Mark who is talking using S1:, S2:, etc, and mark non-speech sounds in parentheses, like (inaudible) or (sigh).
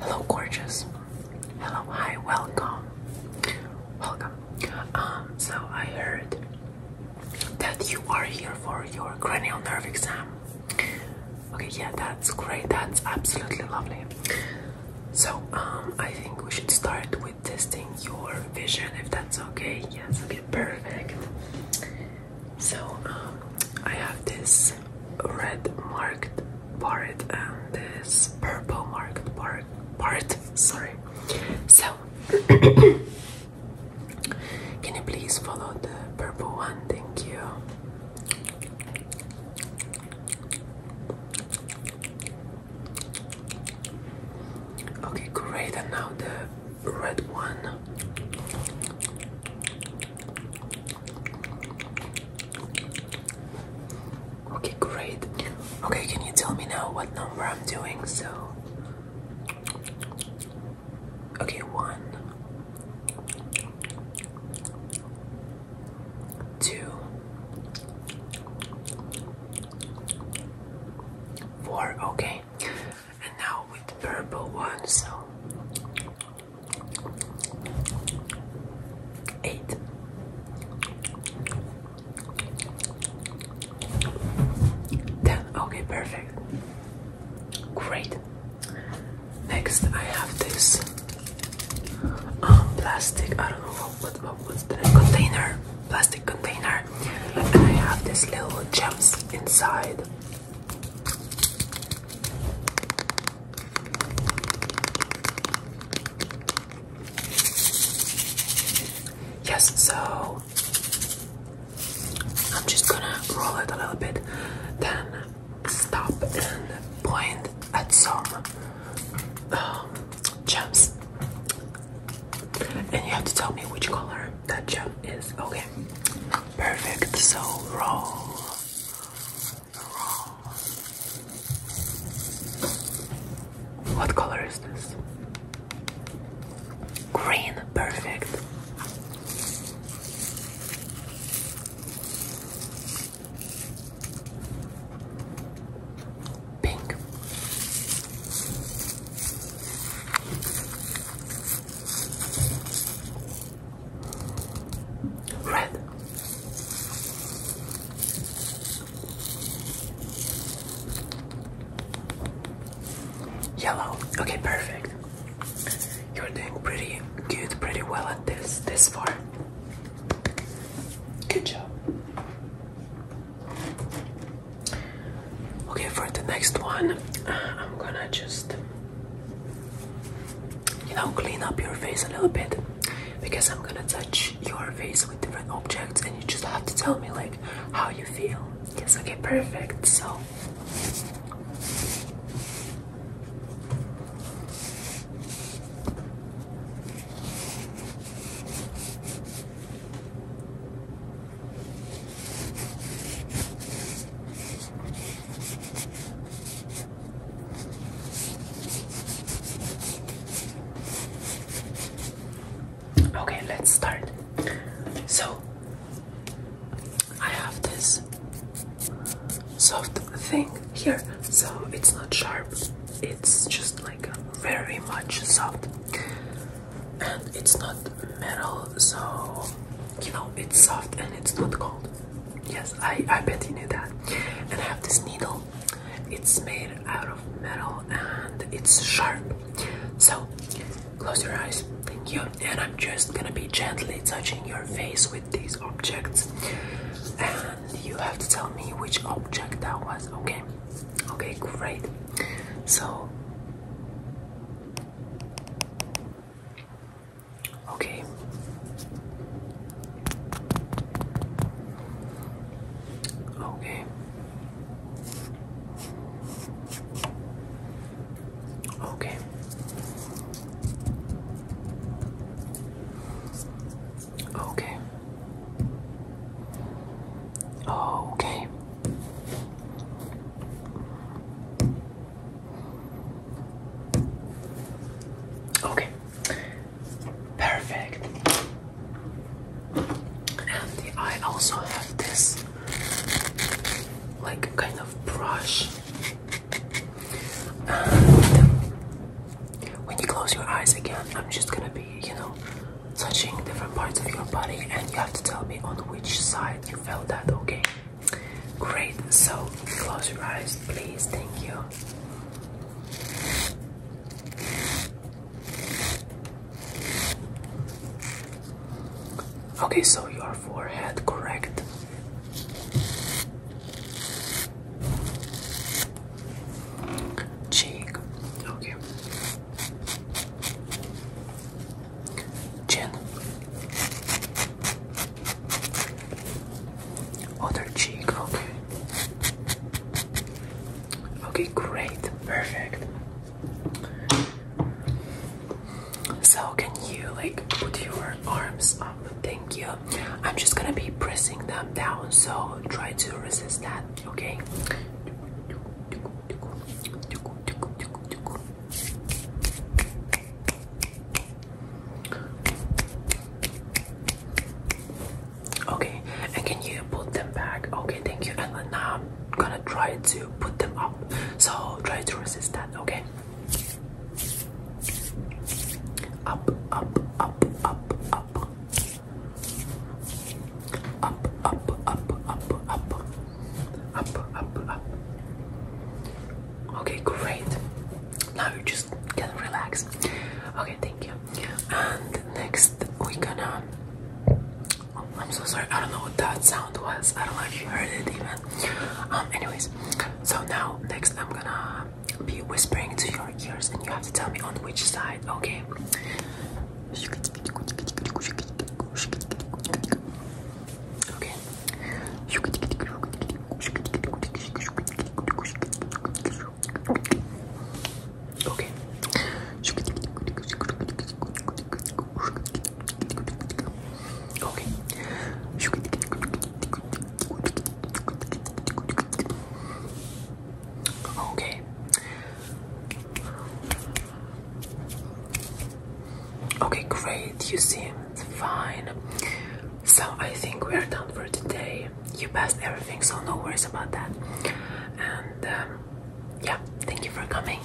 S1: Hello, gorgeous. Hello, hi, welcome. Welcome. Um, so I heard that you are here for your cranial nerve exam. Okay, yeah, that's great. That's absolutely lovely. So, um, I think we should start with testing your vision if that's okay. Yes, okay, perfect. So um, I have this red marked part and this purple marked part. Part sorry. So (coughs) can you please follow the purple one? Thank you. Okay, great. And now the red one. Okay, great. Okay, can you tell me now what number I'm doing? So, okay, one, two, four. Okay, and now with the purple one, so eight. Okay, perfect. Great. Next, I have this um, plastic. I don't know what what what, what the container, plastic container I have this little gems inside. Yes, so I'm just gonna roll it a little bit, then stop and point at some um, gems. And you have to tell me which color that gem is. Okay. Perfect. So roll. Roll. What color is this? Green. Perfect pink. Red. Yellow. Okay, perfect. You're doing pretty good, pretty well at this this far. Good job. Okay, for the next one, I'm gonna just, you know, clean up your face a little bit because I'm gonna touch your face with different objects and you just have to tell me, like, how you feel. Yes, okay, perfect. So. Okay, let's start. So, I have this soft thing here, so it's not sharp it's just like very much soft and it's not metal so you know it's soft and it's not cold yes i i bet you knew that and i have this needle it's made out of metal and it's sharp so close your eyes thank you and i'm just gonna be gently touching your face with these objects you have to tell me which object that was okay okay great so okay okay okay Okay. Okay. Okay. Perfect. And I also have this like kind of brush when you close your eyes again, I'm just gonna be, you know, touching different parts of your body, and you have to tell me on which side you felt that, okay? Great, so close your eyes, please. Thank you. Okay, so your forehead, correct? Cheek. Okay. Chin. Other cheek. Okay. Okay, great. Perfect. So, can you like put your arms up? Thank you. I'm just gonna be pressing them down, so try to resist that, okay? Okay, and can you put them back? Okay, thank you. And now I'm gonna try to put them up, so try to resist that, okay? Up, up, up, up, up. Up, up, up, up, up. Up, up, up. Okay, great. Now you just can relax. Okay, thank you. And next we gonna oh, I'm so sorry, I don't know what that sound was. I don't know if you heard it even. Um anyways, so now, next, I'm gonna be whispering to your ears, and you have to tell me on which side, okay? Okay. Okay. Okay. Okay. Okay, great. You seem fine. So I think we're done for today. You passed everything, so no worries about that. And um, yeah, thank you for coming.